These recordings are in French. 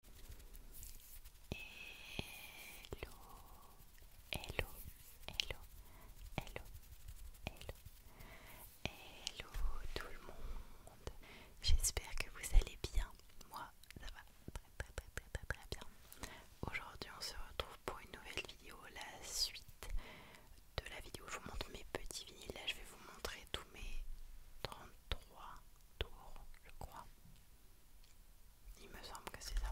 Hello, hello, hello, hello, hello, hello tout le monde. J'espère que vous allez bien. Moi, ça va très très très très très, bien. Aujourd'hui, on se retrouve pour une nouvelle vidéo, la suite de la vidéo. Je vous montre mes petits vinyles. Là, je vais vous montrer tous mes 33 tours, je crois. Il me semble que c'est ça.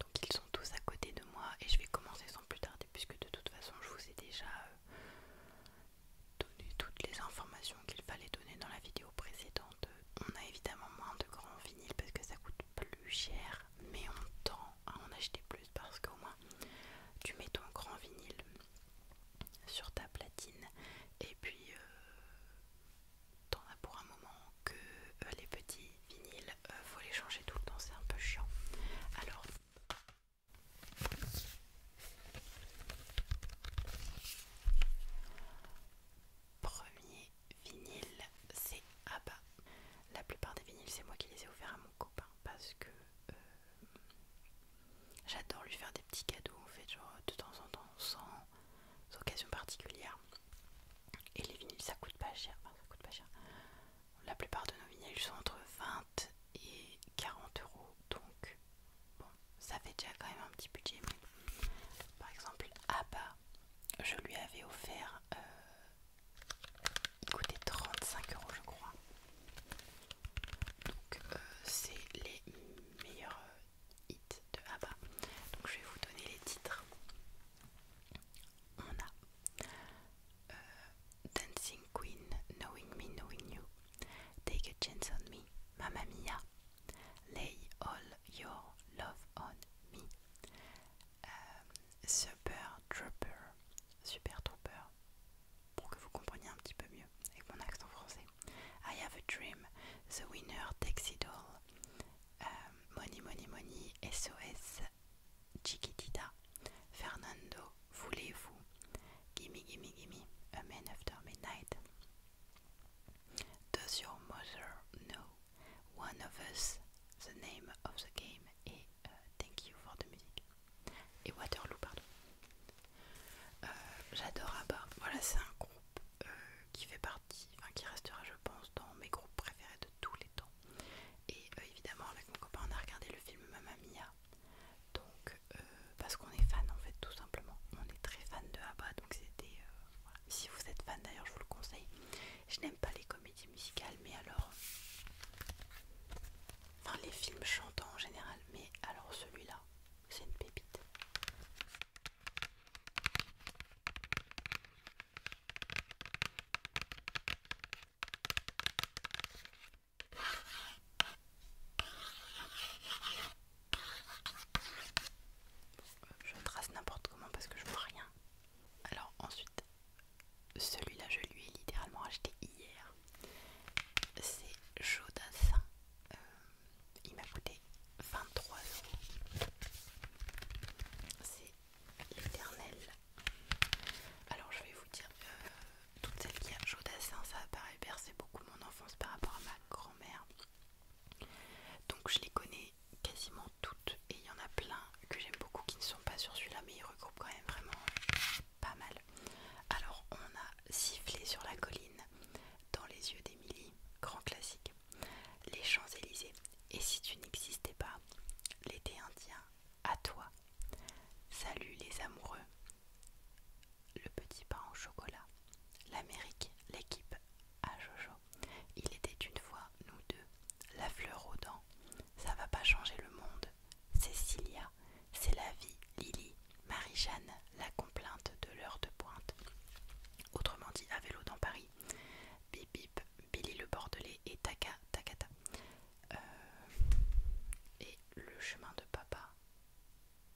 Donc ils sont tous à côté de moi et je vais commencer sans plus tarder puisque de toute façon je vous ai déjà euh, donné toutes les informations qu'il fallait donner dans la vidéo précédente. On a évidemment moins de grands vinyles parce que ça coûte plus cher mais on tend à en acheter plus parce qu'au moins tu mets ton grand vinyle sur ta platine et puis euh, t'en as pour un moment que euh, les petits vinyles euh, faut les changer tout le temps c'est un peu chiant alors premier vinyle c'est Abba la plupart des vinyles c'est moi qui les ai offerts à mon copain parce que j'adore lui faire des petits cadeaux fait, genre de temps en temps, sans, occasion particulière. Et les vinyles ça coûte pas cher, ça coûte pas cher. La plupart de nos vinyles sont entre 20 et 40 euros, donc bon, ça fait déjà quand même un petit budget. Par exemple, Abba, je lui avais offert, euh, il coûtait 35 euros je crois. Donc euh, c'est les meilleurs euh, hits de ABBA. Donc je vais vous donner les titres. On a euh, Dancing Queen, Knowing Me, Knowing You, Take a Chance on Me, Mamma Mia, Lay All Your Love on Me, Super Trooper, Super Trooper, pour que vous compreniez un petit peu mieux avec mon accent français. I have a dream, the winner takes it all. Euh, money, money, money, SOS, Chiquitita, Fernando, voulez-vous? Gimme, gimme, gimme, a man after midnight. Does your mother know? One of us, the name of the game, et euh, thank you for the music. Et Waterloo, pardon. Euh, j'adore ABBA. Voilà, c'est un groupe euh, qui fait partie, qui restera, je pense, dans mes groupes préférés de tous les temps. Et euh, évidemment, avec mon copain, on a regardé le film Mamma Mia. Donc, parce qu'on est fan en fait, tout simplement. On est très fan de ABBA, donc c'était. Si vous êtes fan d'ailleurs, je vous le conseille. Je n'aime pas les comédies musicales, mais alors. Enfin, les films chantants en général, mais alors celui-là c'est une pépite. Je trace n'importe comment parce que je vois rien. Alors ensuite, celui-là je lui ai littéralement acheté hier c'est Jodassin. Euh, il m'a coûté 23 euros. C'est l'éternel. Alors je vais vous dire, que euh, toutes celles qui a Jodassin, ça apparaît bercé beaucoup mon enfance par rapport à ma grand-mère. Donc je les connais quasiment toutes et il y en a plein que j'aime beaucoup qui ne sont pas sur celui-là mais ils regroupent quand même vraiment pas mal. Alors, on a sifflé sur la colline, dans les yeux d'Émilie, grand classique, les Champs-Élysées, et si tu n'existais pas, l'été indien, à toi, salut les amoureux, le petit pain au chocolat, l'Amérique, l'équipe à Jojo, il était une fois, nous deux, la fleur aux dents, ça va pas changer le monde, Cécilia, c'est la vie, Lily, Marie-Jeanne, la complainte de l'heure de pointe. Autrement dit, à vélo dans Paris. Bip bip, Billy le Bordelais et Taka Takata. Euh, et le chemin de papa.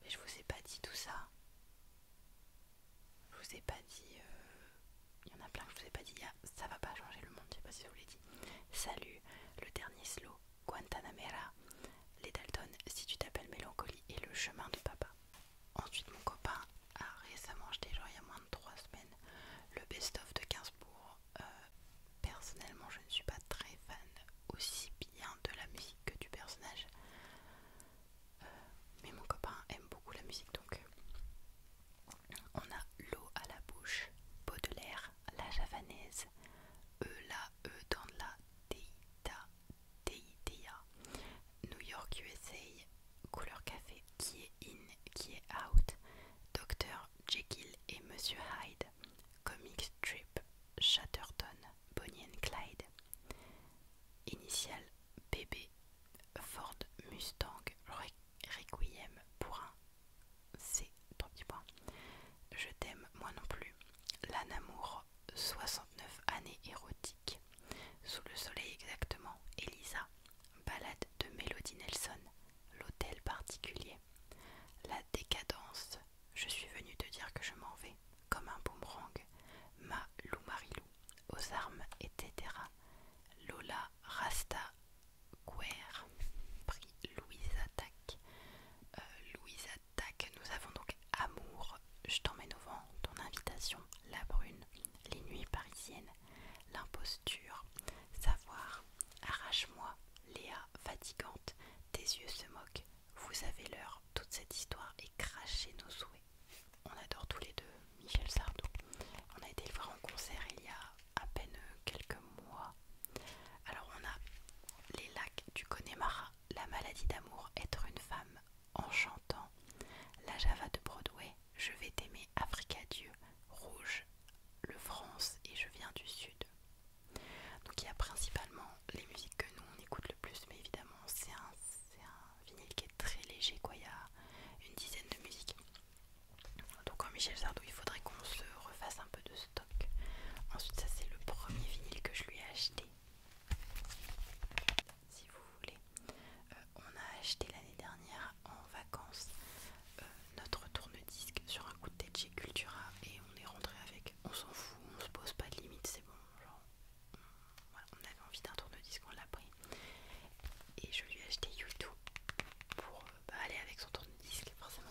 Mais je vous ai pas dit tout ça. Je vous ai pas dit. Euh, il y en a plein que je vous ai pas dit. ça va pas changer le monde, je sais pas si je vous l'ai dit. Salut, le dernier slow, Guantanamera, les Dalton, si tu t'appelles Mélancolie et le chemin de papa. Ensuite, mon copain a récemment acheté, genre il y a moins de 3 semaines, le best-of de 15 pour euh, personnellement, je ne suis pas très fan aussi bien de la musique que du personnage. Euh, mais mon copain aime beaucoup la musique donc. Euh, on a l'eau à la bouche, Baudelaire, la javanaise, E la E dans la New York USA couleur café qui est in qui est out Dr Jekyll et Monsieur Hyde Comic Strip Chatterton Bonnie Clyde Initial BB Ford Mustang Requiem pour un c'est trop petit point Je t'aime, moi non plus. Lanamour, 69 années érotiques. Sous le soleil exactement, Elisa. Balade de Melody Nelson, l'hôtel particulier. La décadence, je suis venue te dire que je m'en vais, comme un boomerang. Ma Lou Marilou, aux armes, etc. Lola Rasta Guerre, prix Louisa Attaque. Euh, Louisa Tac, nous avons donc Amour, Je t'emmène au vent, Ton invitation, La brune, Les nuits parisiennes, L'imposture, Savoir, Arrache-moi, Léa, fatigante, Tes yeux se moquent, Vous avez l'heure, toute cette histoire et crachez nos souhaits. On adore tous les deux Michel Sardou. On a été le voir en concert il y a à peine quelques mois alors on a les lacs du Connemara, la maladie d'amour, être une femme en chantant, la Java de Broadway, je vais t'aimer, Africa Dieu, Rouge, le France et je viens du Sud. Donc il y a principalement les musiques que nous on écoute le plus, mais évidemment c'est un, un vinyle qui est très léger, quoi. il y a une dizaine de musiques. Donc en Michel Sardou, il faudrait qu'on se refasse un peu stock. Ensuite, ça c'est le premier vinyle que je lui ai acheté. Si vous voulez, euh, on a acheté l'année dernière en vacances euh, notre tourne-disque sur un coup de tête chez Cultura et on est rentré avec. On s'en fout, on se pose pas de limite, c'est bon. Genre, on, avait envie d'un tourne-disque, on l'a pris. Et je lui ai acheté YouTube pour euh, bah, aller avec son tourne-disque, forcément.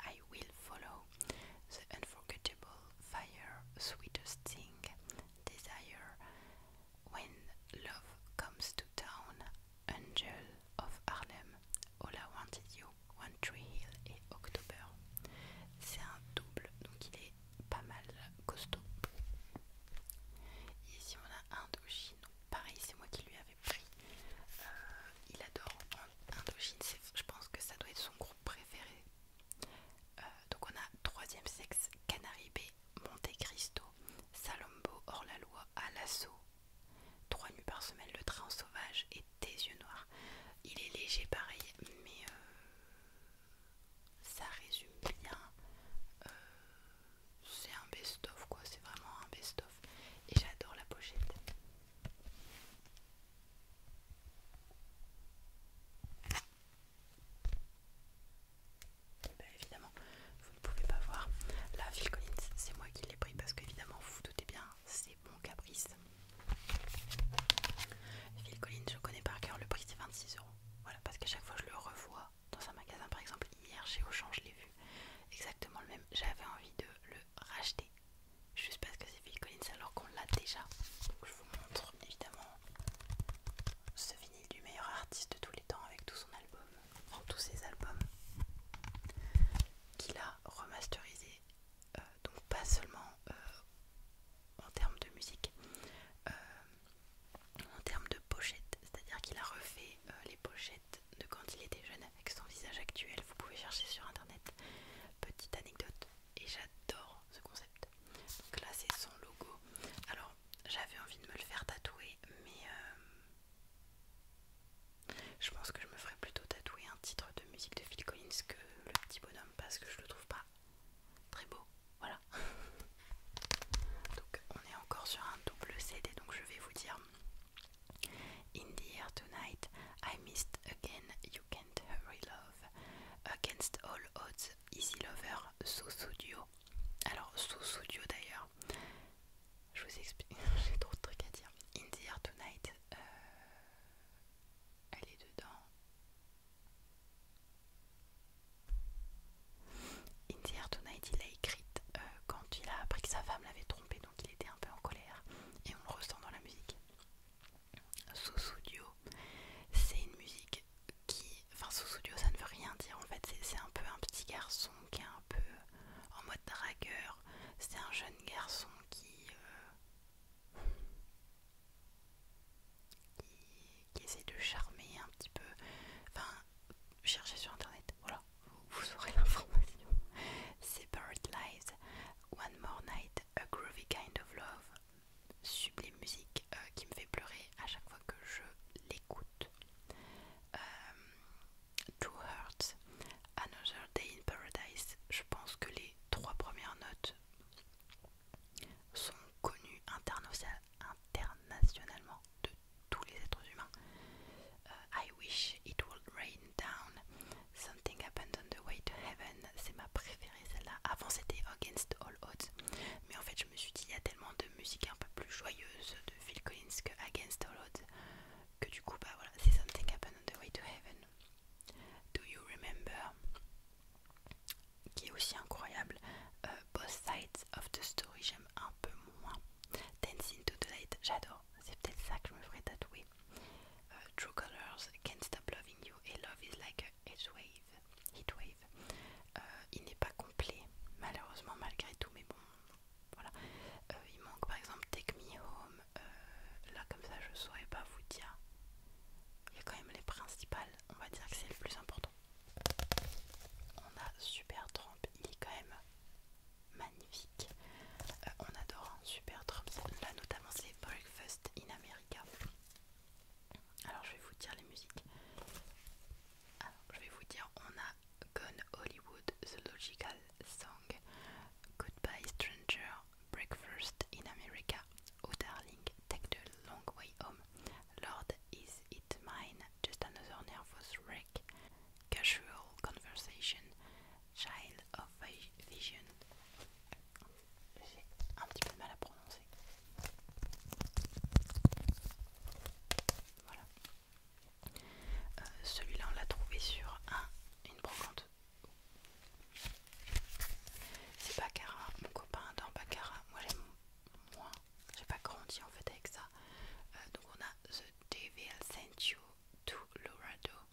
I will follow the unforgettable fire, sweetest thing, desire. When love comes to town, angel of Harlem, all I wanted you, One Tree Hill et October. C'est un double, donc il est pas mal costaud. Et ici on a Indochine, pareil c'est moi qui lui avais pris. Euh, il adore Indochine, je pense que ça doit être son groupe préféré euh, donc on a troisième sexe, Canaribé, Monte Cristo, Salombo, hors la loi, à l'assaut. Trois nuits par semaine, le train sauvage et Des yeux noirs. Il est léger pareil, mais euh, ça résume bien. Euh, c'est un best-of quoi, c'est vraiment un best-of. Et j'adore la pochette. Eh bien évidemment, vous ne pouvez pas voir. la Phil c'est moi qui l'ai pris parce qu'évidemment, vous vous doutez bien, c'est mon caprice. Phil Collins, je connais par cœur, le prix c'est 26 euros. Voilà, parce qu'à chaque fois, je le revois dans un magasin. Par exemple, hier, chez Auchan, je l'ai vu exactement le même. J'avais envie de le racheté, racheter juste parce que c'est Phil Collins alors qu'on l'a déjà. je vous montre évidemment ce vinyle du meilleur artiste de tous les temps avec tout son album, tous ses albums qu'il a remasterisé. Euh, donc pas seulement euh, en termes de musique, euh, en termes de pochettes, c'est-à-dire qu'il a refait les pochettes de quand il était jeune avec son visage actuel. Vous pouvez chercher sur internet. Petite anecdote, et j'adore ce concept. Donc là c'est son logo. Alors j'avais envie de me le faire tatouer mais euh, je pense que je me ferais plutôt tatouer un titre de musique de Phil Collins que le petit bonhomme parce que je le trouve pas très beau. Voilà. donc on est encore sur un double CD donc je vais vous dire In the air tonight I missed again You Can't Hurry Love, Against All Odds, Easy Lover, So Studio. Alors, Sous Studio d'ailleurs, je vous explique, j'ai trop de trucs à dire. In the Air Tonight, euh, elle est dedans. In the Air Tonight, il l'a écrite euh, quand il a appris que sa femme l'avait trompé, donc il était un peu en colère, et on le ressent dans la musique sous sudio c'est une musique qui. Enfin, sous-studio, ça ne veut rien dire en fait. C'est un peu un petit garçon qui est un peu euh, en mode dragueur. C'est un jeune garçon euh, qui, qui. essaie de charmer un petit peu. Enfin, cherchez sur internet, voilà, vous, aurez l'information. C'est Bird Lives, One More Night a Groovy Kind of Love, sublime musique euh, qui me fait pleurer à chaque fois que je l'écoute. Euh, Two Another Day in Paradise, je pense que les trois premières notes sont connues internationalement de tous les êtres humains. Euh, I Wish It Would Rain Something Happened on the Way to Heaven, c'est ma préférée celle-là. Avant c'était Against All Odds, mais en fait je me suis dit il y a tellement de musique un peu plus joyeuse de Phil Collins que Against All Odds que du coup bah voilà c'est Something Happened on the Way to Heaven. Do You Remember, qui est aussi incroyable. Euh, Both Sides of the Story, j'aime un peu moins. Dancing To the Light, j'adore. C'est peut-être ça que je me ferai tatouer. Uh, True Colors, Can't Stop Loving You et Love is Like a wave. Uh, il n'est pas complet, malheureusement, malgré tout, mais bon, voilà. Uh, il manque par exemple Take Me Home. là, comme ça, je saurais pas vous dire. Il y a quand même les principales, on va dire que c'est le plus important. On a Super Trump, il est quand même magnifique. on adore hein, Super Trump, là notamment c'est Breakfast in America. Alors je vais vous dire les musiques. je vais vous dire, on a Gone Hollywood, The Logical Song, Goodbye Stranger, Breakfast in America, Oh Darling, Take the Long Way Home, Lord Is It Mine, Just Another Nervous Wreck, Casual Conversation, Child of Vision. J'ai un petit peu de mal à prononcer. Voilà. Euh, celui-là, on l'a trouvé sur un, une brocante. C'est Baccarat, mon copain adore Baccarat. Moi, j'aime moins. J'ai pas grandi en fait avec ça. Euh, donc, on a The Devil Sent You to Lorado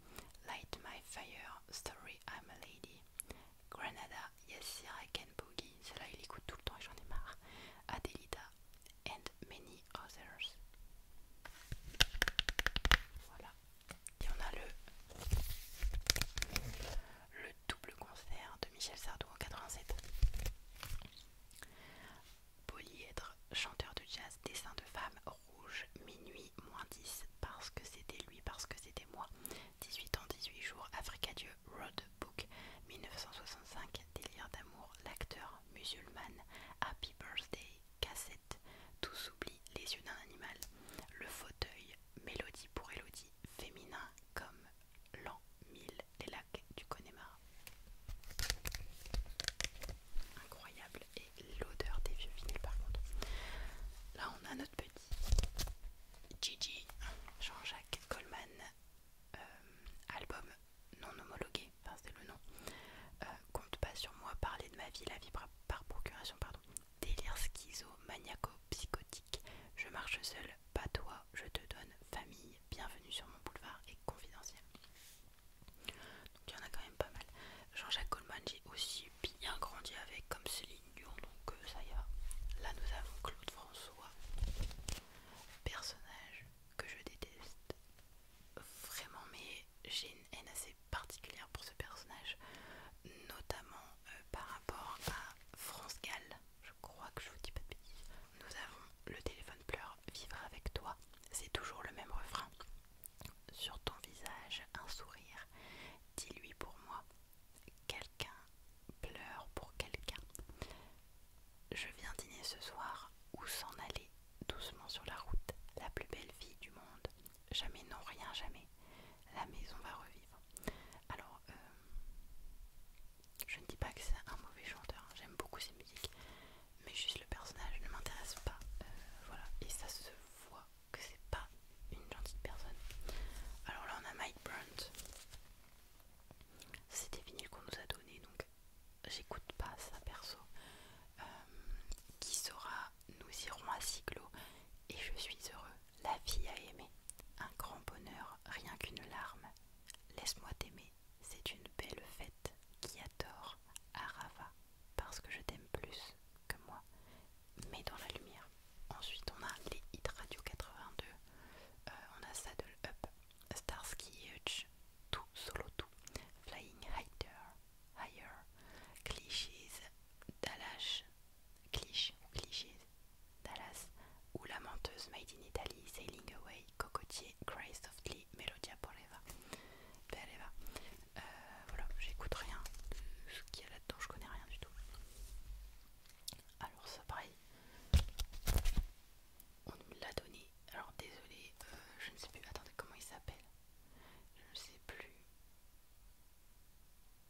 Light My Fire, Story I'm a Lady, Granada, Yes Sir I Can Boogie, Cela il écoute tout le temps et j'en ai marre, Adelita, and many others. Voilà. Et on a le, le double concert de Michel Sardou en 87. Polyèdre, chanteur de jazz, dessin de femme, rouge, minuit moins 10 parce que c'était lui, parce que c'était moi. 18 ans, 18 jours, Africa Dieu, Road Book, 1965, Délire d'amour, l'acteur musulman, Happy Birthday, cassette, Tout s'oublie, les yeux d'un animal, Le fauteuil, Mélodie pour Elodie, féminin comme l'an mille, les lacs du Connemara. Incroyable et l'odeur des vieux vinyles par contre. Là on a notre petit Gigi Jean-Jacques Coleman euh, album non homologué, enfin c'est le nom. Euh, compte pas sur moi, parler de ma vie, la vie par procuration, pardon. Délire schizo, maniaco, psychotique. Je marche seul, pas toi, je te donne famille. Bienvenue sur mon boulevard et confidentiel il y en a quand même pas mal. Jean-Jacques Goldman, j'ai aussi bien grandi avec, comme Céline Dion, donc euh, ça y est. Là, nous avons Claude François, personnage que je déteste vraiment, mais j'ai une haine assez particulière pour ce personnage, notamment euh, par rapport à France Gall. Je crois que je vous dis pas de bêtises. Nous avons le téléphone pleure, vivre avec toi, c'est toujours le même refrain. Sur ton visage un sourire, dis-lui pour moi. Quelqu'un pleure pour quelqu'un. Je viens dîner ce soir ou s'en aller doucement sur la route. La plus belle vie du monde. Jamais, non, rien, jamais. La maison va revivre. Alors, euh, je ne dis pas que c'est un mauvais chanteur, hein. j'aime beaucoup ses musiques, mais juste le personnage ne m'intéresse pas. Euh, voilà, et ça se voit que c'est pas une gentille personne. Alors là, on a Mike Brandt C'est des vinyles qu'on nous a donné, donc j'écoute pas ça perso. Euh, qui sera Nous irons à Siglo et je suis heureux. La fille a aimé. Un grand bonheur, rien qu'une larme. Laisse-moi t'aimer. C'est une belle fête qui adore Arava parce que je t'aime plus que moi, mais dans la lumière. Ensuite, on a les hits radio 82, euh, on a Saddle Up, Starsky Hutch, Tout Solo Tout, Flying Higher, Higher, Clichés, Dallas, Cliché ou Clichés, Dallas, ou La Menteuse Made in Italy, Sailing Away, Cocotier, Grace Softly, Melodia Poreva. Euh, voilà, j'écoute rien ce qu'il y a là-dedans, je connais rien du tout. Alors ça pareil, on nous l'a donné. Alors désolé, euh, je ne sais plus, attendez comment il s'appelle. Je ne sais plus.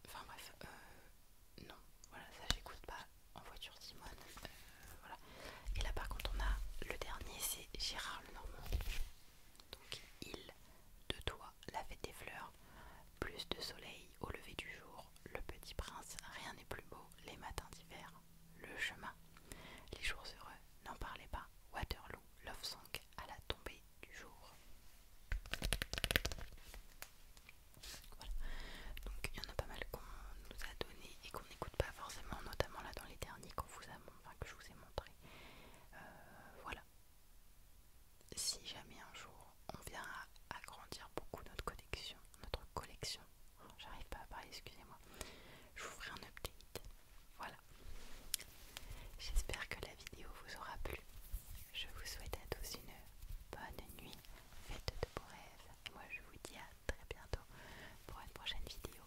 Enfin bref, euh, non, voilà, ça j'écoute pas en voiture Simone. voilà. Et là par contre on a le dernier, c'est Gérard Lenormand. Donc il, de toi, la fête des fleurs, plus de soleil au lever du jour, le petit prince, rien n'est plus beau, les matins d'hiver, le chemin, les jours heureux, n'en parlez pas, Waterloo, Love Song, à la tombée du jour. Voilà. Donc il y en a pas mal qu'on nous a donné et qu'on n'écoute pas forcément, notamment là dans les derniers qu'on vous a, enfin, que je vous ai montré. Euh, voilà, si jamais un jour on vient agrandir beaucoup notre collection, notre collection, j'arrive pas à parler, excusez-moi, je vous ferai un update. Voilà. J'espère que la vidéo vous aura plu. Je vous souhaite à tous une bonne nuit, faites de beaux rêves. moi je vous dis à très bientôt pour une prochaine vidéo.